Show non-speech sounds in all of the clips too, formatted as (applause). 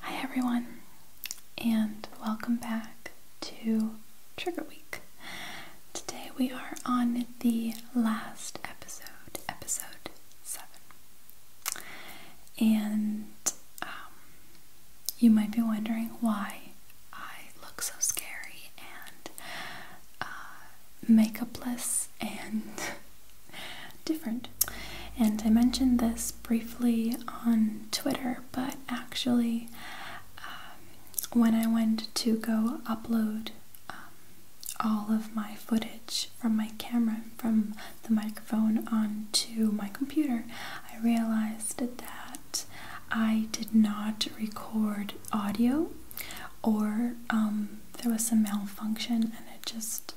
Hi, everyone, and welcome back to Trigger Week. Today we are on the last episode, episode 7. And um, you might be wondering why I look so scary and uh, makeupless and (laughs) different. And I mentioned this briefly on Twitter, but actually, um, when I went to go upload um, all of my footage from my camera, from the microphone onto my computer, I realized that I did not record audio or um, there was some malfunction and it just,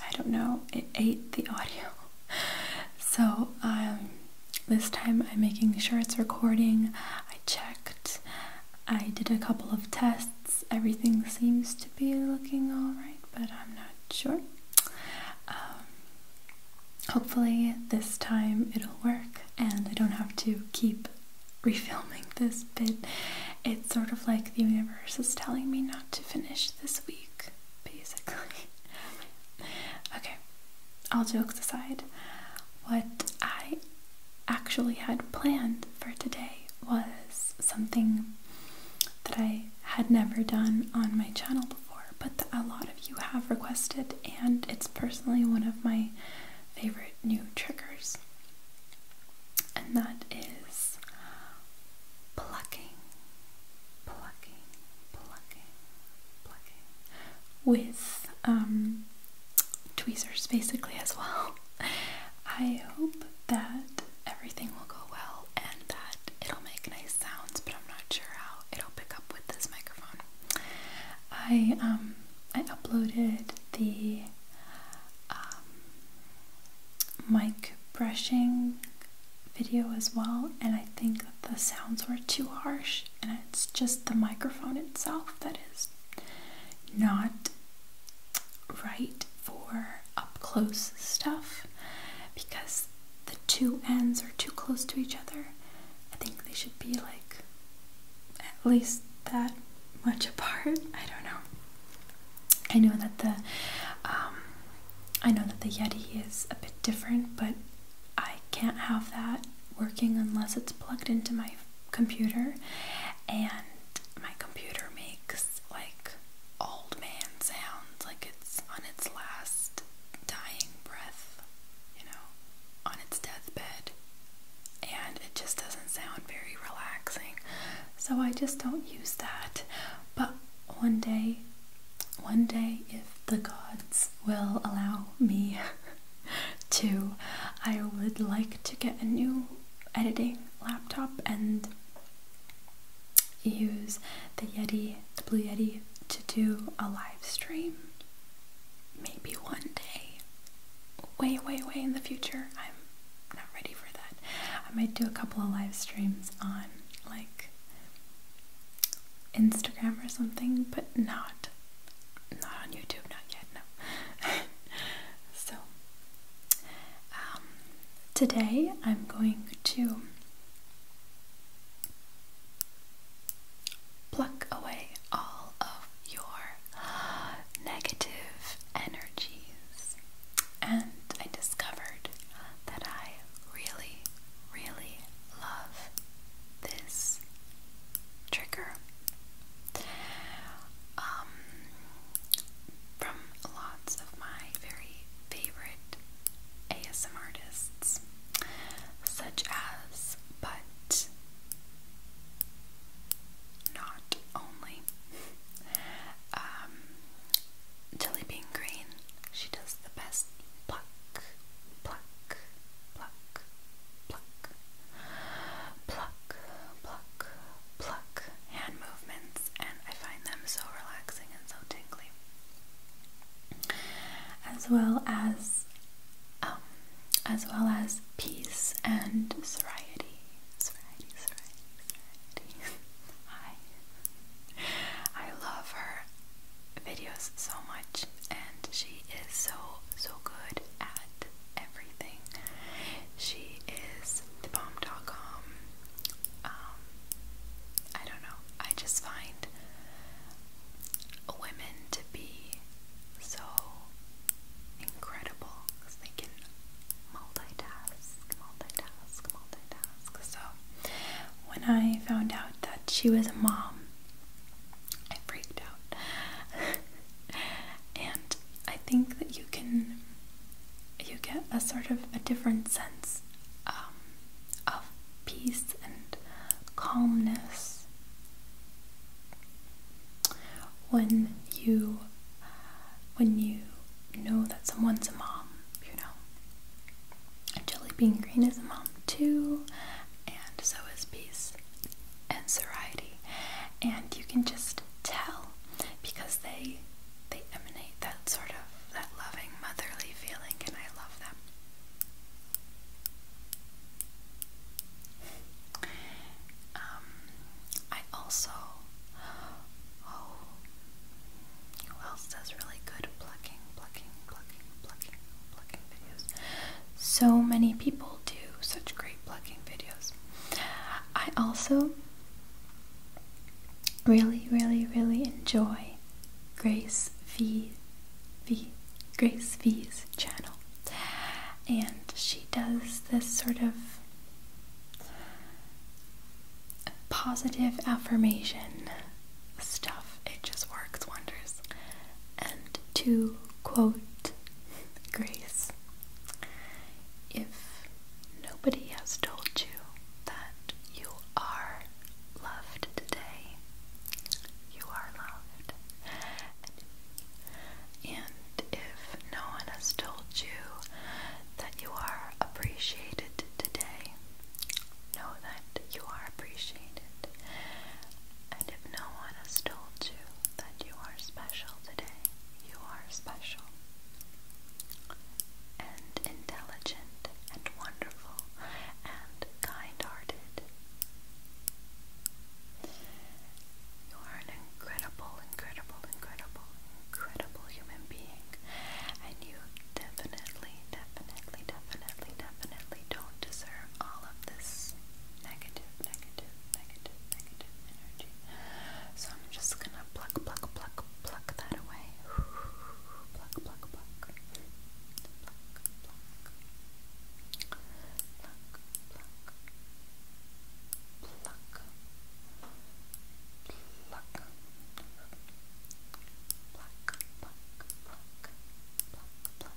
I don't know, it ate the (laughs) audio. So um, this time I'm making sure it's recording. I checked, I did a couple of tests. Everything seems to be looking alright, but I'm not sure. Um, hopefully, this time it'll work and I don't have to keep refilming this but It's sort of like the universe is telling me not to finish this week, basically. (laughs) okay, all jokes aside, what I actually had planned for today was something that I had never done on my channel before, but a lot of you have requested, and it's personally one of my favorite new triggers, and that is plucking, plucking, plucking, plucking with um, tweezers basically as well. (laughs) I hope that everything will go well and that it'll make nice sounds, but I'm not sure how it'll pick up with this microphone. I um, I uploaded the um, mic brushing video as well, and I think the sounds were too harsh, and it's just the microphone itself that is not right for up close stuff because the two ends are too close to each other. I think they should be like at least that much (laughs) apart. I don't know. I know that the um, I know that the Yeti is a bit different, but I can't have that working unless it's plugged into my computer, and my computer makes like old man sounds, like it's on its last dying breath you know, on its deathbed, and it just doesn't sound very relaxing. So I just don't use that. But one day, one day, if the gods will allow me (laughs) to, I would like to get a new editing laptop and use the Yeti, the Blue Yeti, to do a live stream. Maybe one day. Way, way, way in the future. I'm not ready for that. I might do a couple of live streams on like Instagram or something, but not not on YouTube, not yet, no. (laughs) so um, today I'm going to Pluck away all of your negative energies. And I discovered that I really, really love this trigger. Um, from lots of my very favorite ASM artists, such as, but not only, (laughs) um, Green. She does the best pluck, pluck, pluck, pluck, pluck, pluck, pluck hand movements, and I find them so relaxing and so tingly. As well as, um, as well as peace and serenity. Sobriety, sobriety, sobriety. (laughs) Hi. I love her videos so much, and she is so so good at everything. She is the bomb. Dot com. Um, I don't know. I just find women to be so incredible they can multitask, multitask, multitask. So when I found out that she was a mom, I freaked out. (laughs) and I think that you can you get a sort of a different sense um, of peace and calmness when you when you know that someone's a mom, you know. And Jelly Bean Green is a mom too, and so is Peace and Soriety. And you can just tell because they they emanate that sort of that loving motherly feeling and I love them. Um I also oh who else does really good plucking, plucking, plucking, plucking, plucking videos? So many people do such great plucking videos. I also really, really, really enjoy Grace V, v Grace V's channel. And she does this sort of positive affirmation stuff. It just works wonders. And to quote Grace, if nobody has told you that you are loved today, you are loved. And if no one has told you that you are appreciated today, know that you are appreciated. And if no one has told you that you are special today. You are special and intelligent and wonderful and kind-hearted. You are an incredible, incredible, incredible, incredible human being and you definitely, definitely, definitely, definitely don't deserve all of this negative, negative, negative negative, negative energy. So I'm just gonna pluck, pluck, pluck, pluck that away. Pluck, pluck, pluck. Pluck, pluck. Pluck, pluck. Pluck. Pluck. Pluck, pluck, pluck, pluck, pluck, pluck.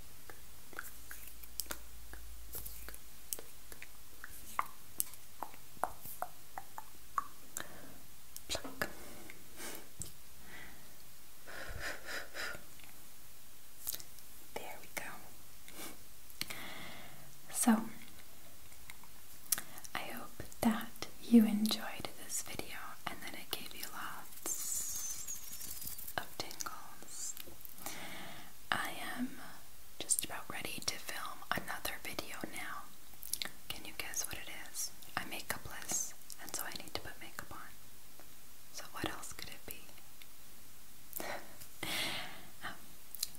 There we go. So, I hope that you enjoyed this video and that it gave you lots of tingles. I am just about ready to film another video now. Can you guess what it is? I'm makeupless, and so I need to put makeup on. So, what else could it be? (laughs) Um,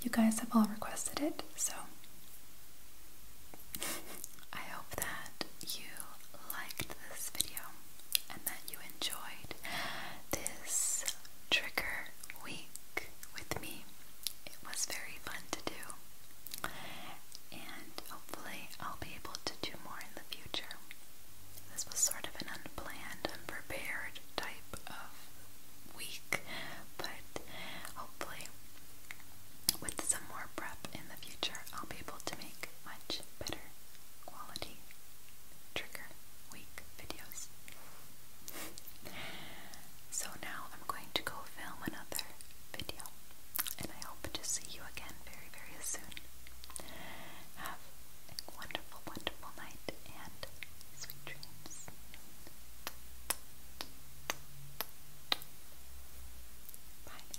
you guys have all requested it, so (laughs) I hope that you liked this video and that you enjoyed this trigger week with me. It was very fun to do, and hopefully, I'll be able to do more in the future. This was sort of an unplanned, unprepared type of week, but hopefully, with some more prep in the future, I'll be able to make much better quality trigger week videos. so now I'm going to go film another video, and I hope to see you again very, very soon. Have a wonderful, wonderful night and sweet dreams. Bye.